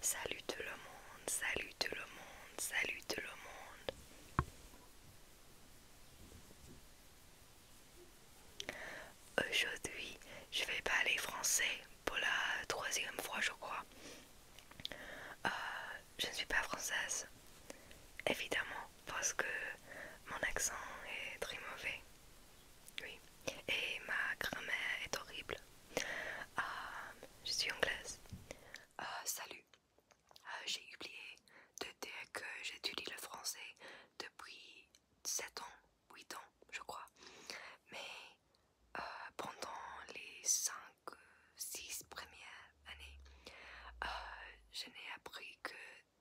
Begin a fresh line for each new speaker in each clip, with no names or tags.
Salut tout le monde, salut tout le monde, salut tout le monde. Aujourd'hui, je vais parler français pour la troisième fois, je crois. Euh, je ne suis pas française, évidemment parce que mon accent est très mauvais. Oui. Et ma grammaire est horrible. Ah, je suis anglaise. Ah, salut. Ah, j'ai oublié de dire que j'étudie le français depuis 7 ans, 8 ans, je crois. Mais pendant les 5, 6 premières années, je n'ai appris que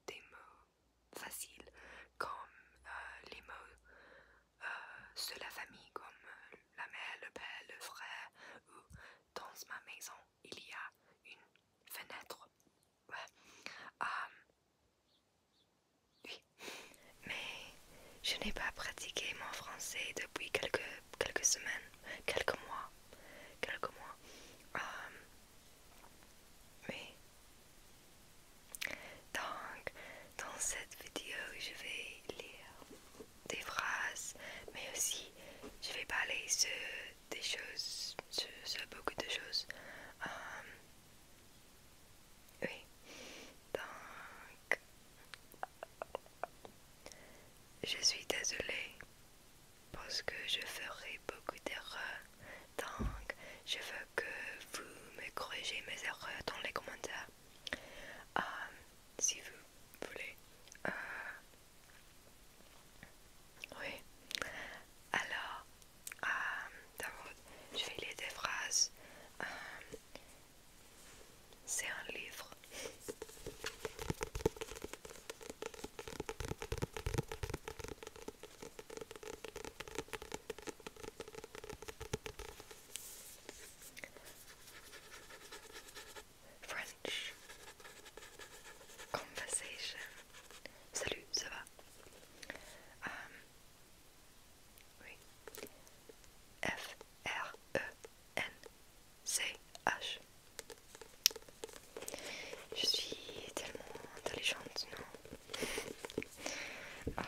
des mots faciles comme euh, les mots euh, de la famille comme euh, la mère, le père, le frère ou dans ma maison il y a une fenêtre. oui. Mais je n'ai pas pratiqué mon français depuis quelques, quelques semaines, quelques mois. Quelques mois. Oui. Donc, dans cette vidéo, je vais lire des phrases, mais aussi je vais parler sur des choses, sur, beaucoup de choses. Euh, oui. Donc, je suis désolée parce que je ferai beaucoup d'erreurs, donc je veux que vous me corrigez mes erreurs dans les commentaires. Euh, si vous voulez. Euh, oui. Alors, euh, je vais lire des phrases. C'est un livre. French conversation. Salut, ça va? Um, F R E N C H Je suis tellement intelligente, non euh,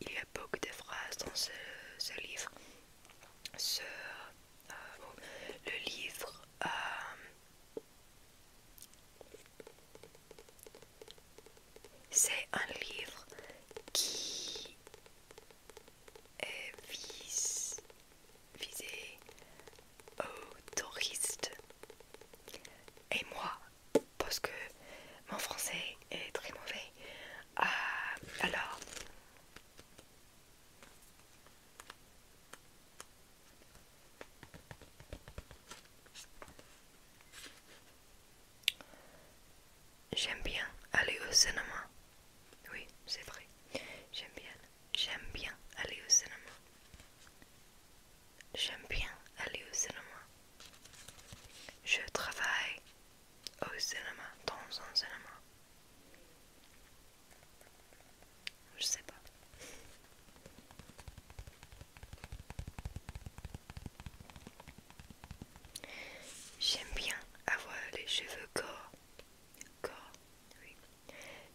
Il y a beaucoup de phrases dans ce, ce livre. Ce, euh, oh, le livre... Euh, c'est un livre qui et vis, visé aux touristes. Et moi, parce que mon français est très mauvais, Ah alors... J'aime bien aller au cinéma oui, c'est vrai. J'aime bien. J'aime bien aller au cinéma. J'aime bien aller au cinéma. Je travaille au cinéma, dans un cinéma. Je sais pas. J'aime bien avoir les cheveux courts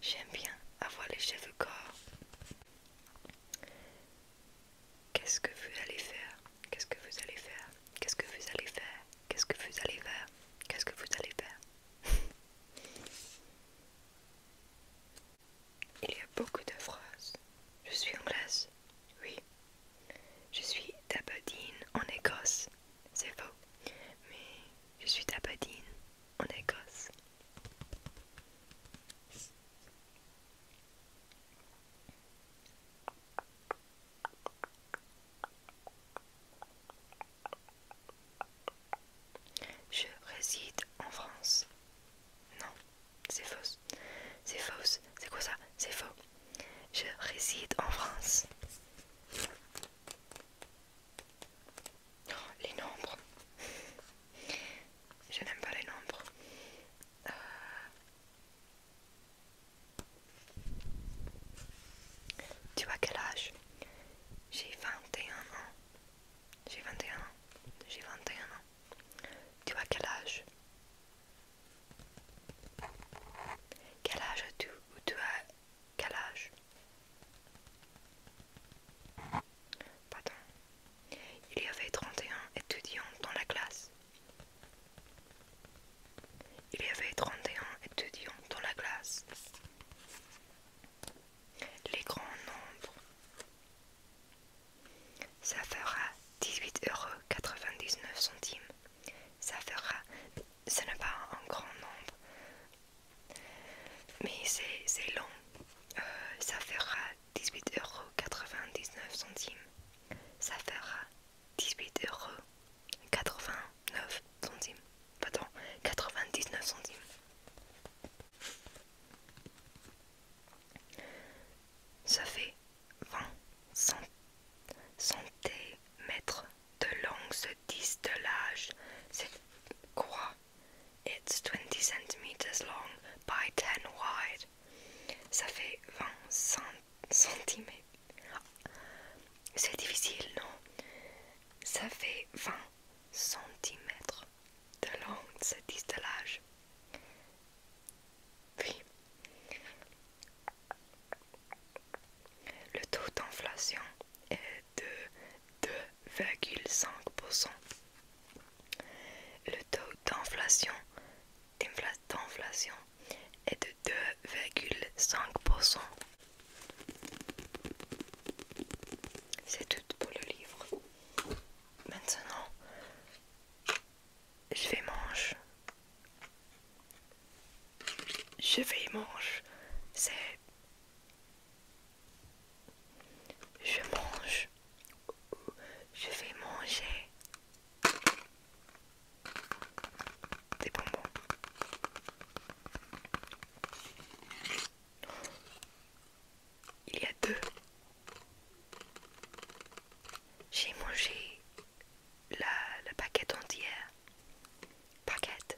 J'aime bien avoir les cheveux corps. Qu'est-ce que vous allez faire Qu'est-ce que vous allez faire Qu'est-ce que vous allez faire Qu'est-ce que vous allez faire Qu'est-ce que vous allez faire Il y a beaucoup de phrases. Je suis anglaise, oui. Je suis d'Abadine en Écosse, c'est faux. Mais je suis Badine en Écosse. Je réside en France. Non, c'est faux. C'est faux. C'est quoi ça C'est faux. Je réside en France. Oh, les nombres. Je n'aime pas les nombres. Euh, tu as quel âge J'ai 21 ans. J'ai 21 ans. J'ai 21 ans. Tu as quel âge Quel âge as-tu ou tu as quel âge Pardon. Il y avait 31 étudiants dans la classe. Il y avait 31 étudiants dans la classe. Les grands nombres. Ça fera 18,99 euros. Ça fera ce n'est pas un grand nombre. Mais c'est long. Euh, ça fera 18,99€. Ça fera 18,89€. Pardon, 99 centimes. Ça fait 20 centimètres de long ce distelage C'est quoi? It's 20 centimeters long by 10 wide. Ça fait 20 cm. C'est difficile, non? Ça fait 20 cm de long ce distelage Oui. Le taux d'inflation est de 2,5%. Le taux d'inflation est de 2,5%. C'est tout pour le livre. Maintenant, je vais manger je vais manger. C'est. Je mange. Je vais manger. Des bonbons. Il y a deux. J'ai mangé la, la paquette entière. Paquette.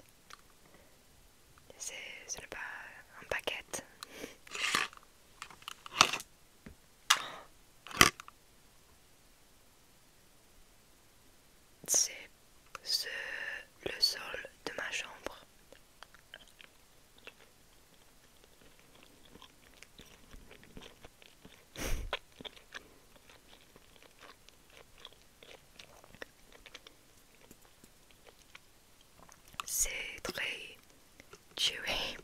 C'est n'est pas un paquet. C'est le sol de ma chambre. C'est très chewy.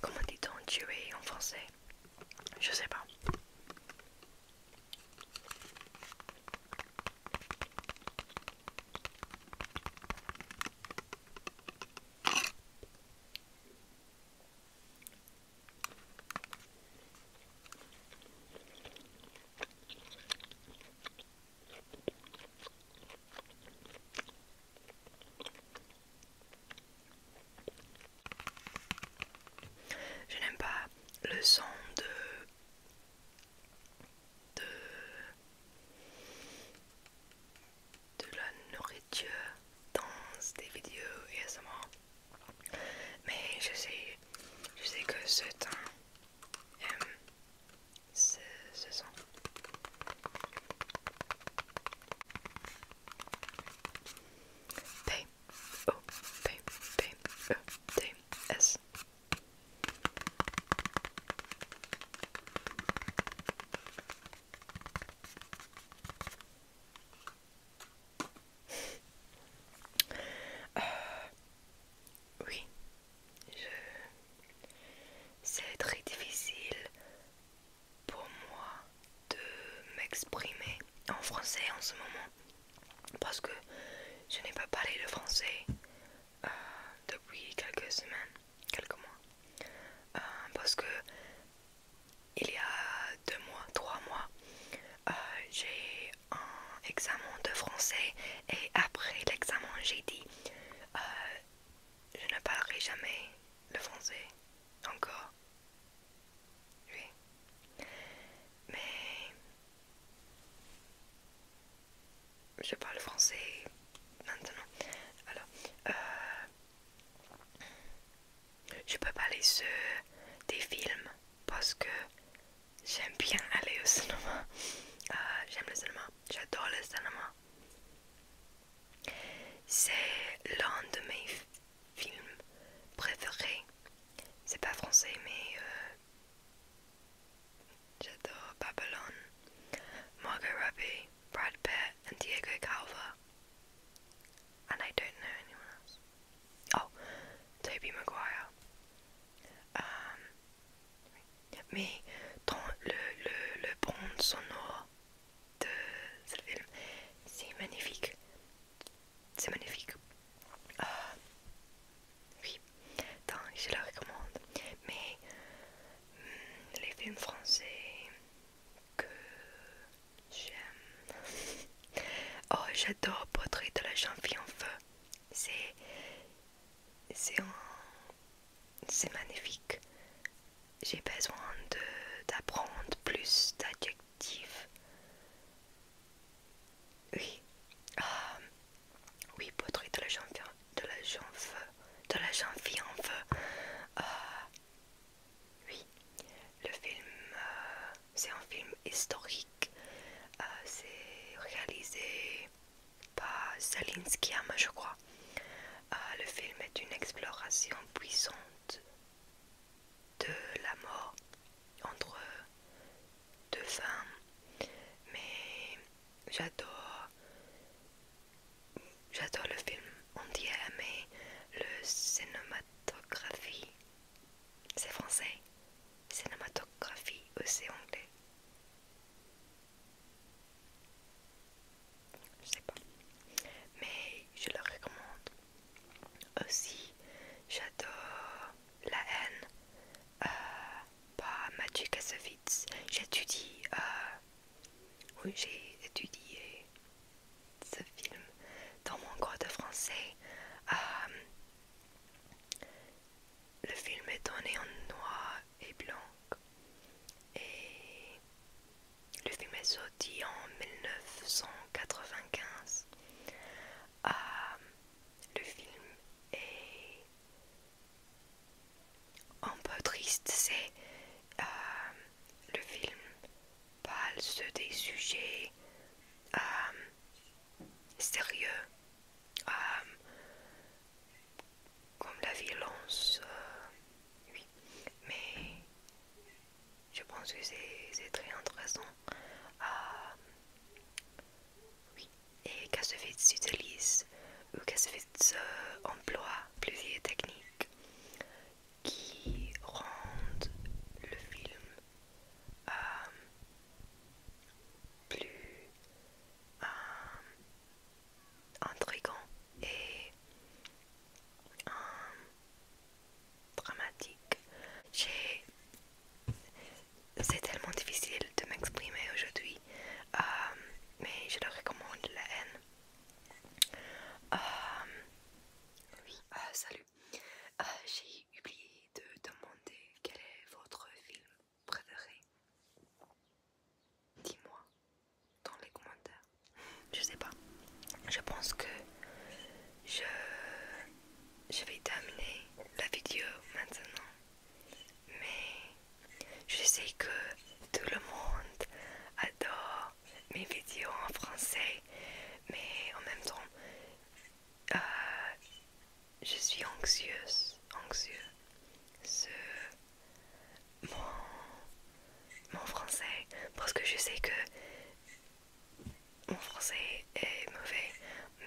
Comment dit-on chewy » en français Je sais pas. Je n'aime pas le son de, de, de la nourriture dans des vidéos ASMR. Mais je sais, je sais que ce teint aime ce, ce son. P O P P E S euh, oui, je... c'est très difficile pour moi de m'exprimer en français en ce moment parce que je n'ai pas parlé le français euh, depuis quelques semaines, quelques mois, euh, parce que il y a deux mois, trois mois, j'ai un examen de français et après l'examen j'ai dit euh, je ne parlerai jamais le français encore. Oui. Mais je parle français maintenant. Alors, euh, je peux parler sur des films parce que j'aime bien aller au cinéma. Euh, j'aime le cinéma, j'adore le cinéma. C'est l'un de mes films préférés. C'est pas français, mais euh, j'adore Babylon, Margot Robbie, Brad Pitt, et Diego Calva. And I don't know anyone else. Oh, Toby Maguire. Um, mais le, le, bronze sonore de ce film, c'est magnifique. C'est magnifique. Ah, oui, je la recommande. Mais hmm, les films français que j'aime Oh, j'adore Portrait de la jeune fille en feu. C'est. C'est C'est magnifique. J'ai besoin d'apprendre plus d'adjectifs. Oui. Ah, oui, Portrait de la jeune fille, de la de la jeune fille en feu. Ah, oui, le film euh, c'est un film historique. Euh, c'est réalisé par Salinskiama je crois. Euh, le film est une exploration puissante de la mort entre deux femmes. Mais j'adore j'adore le film entier, mais le cinématographie c'est français. Cinématographie, Ou c'est anglais. Je sais pas. Mais je le recommande. Aussi, j'adore La haine euh, par Mathieu Kassovitz. J'étudie. Euh, oui, j'ai étudié ce film dans mon cours de français. Euh, le film est donné en noir et blanc et le film est sorti en 1995. Ah, le film est un peu triste, c'est euh, le film parle sur des sujets euh, sérieux, euh, comme la violence, euh, oui, mais je pense que c'est très intéressant. oui, et Kassovitz s'utilise ou Kassovitz emploie plusieurs techniques qui rendent le film euh, plus intriguant et dramatique. C'est tellement difficile de m'exprimer aujourd'hui, euh, mais je le recommande, la haine. Euh, oui, salut. Euh, j'ai oublié de demander quel est votre film préféré. Dis-moi dans les commentaires. Je sais pas. Je pense que je, je vais terminer la vidéo maintenant. Mais je sais que tout le monde adore mes vidéos en français. Mais en même temps, euh, je suis anxieuse, anxieux. Ce, mon, français, parce que je sais que mon français est mauvais,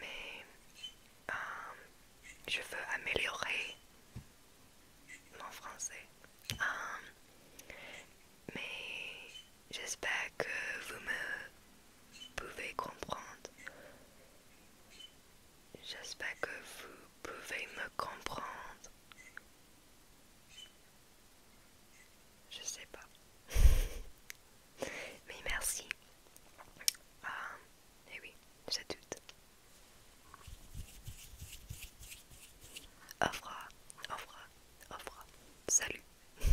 mais euh, je veux améliorer mon français. Euh, mais j'espère que vous me pouvez comprendre. J'espère que vous pouvez me comprendre. Je sais pas. Mais merci. Ah, et eh oui, j'ai tout. Offra, Offra, Offra. Salut.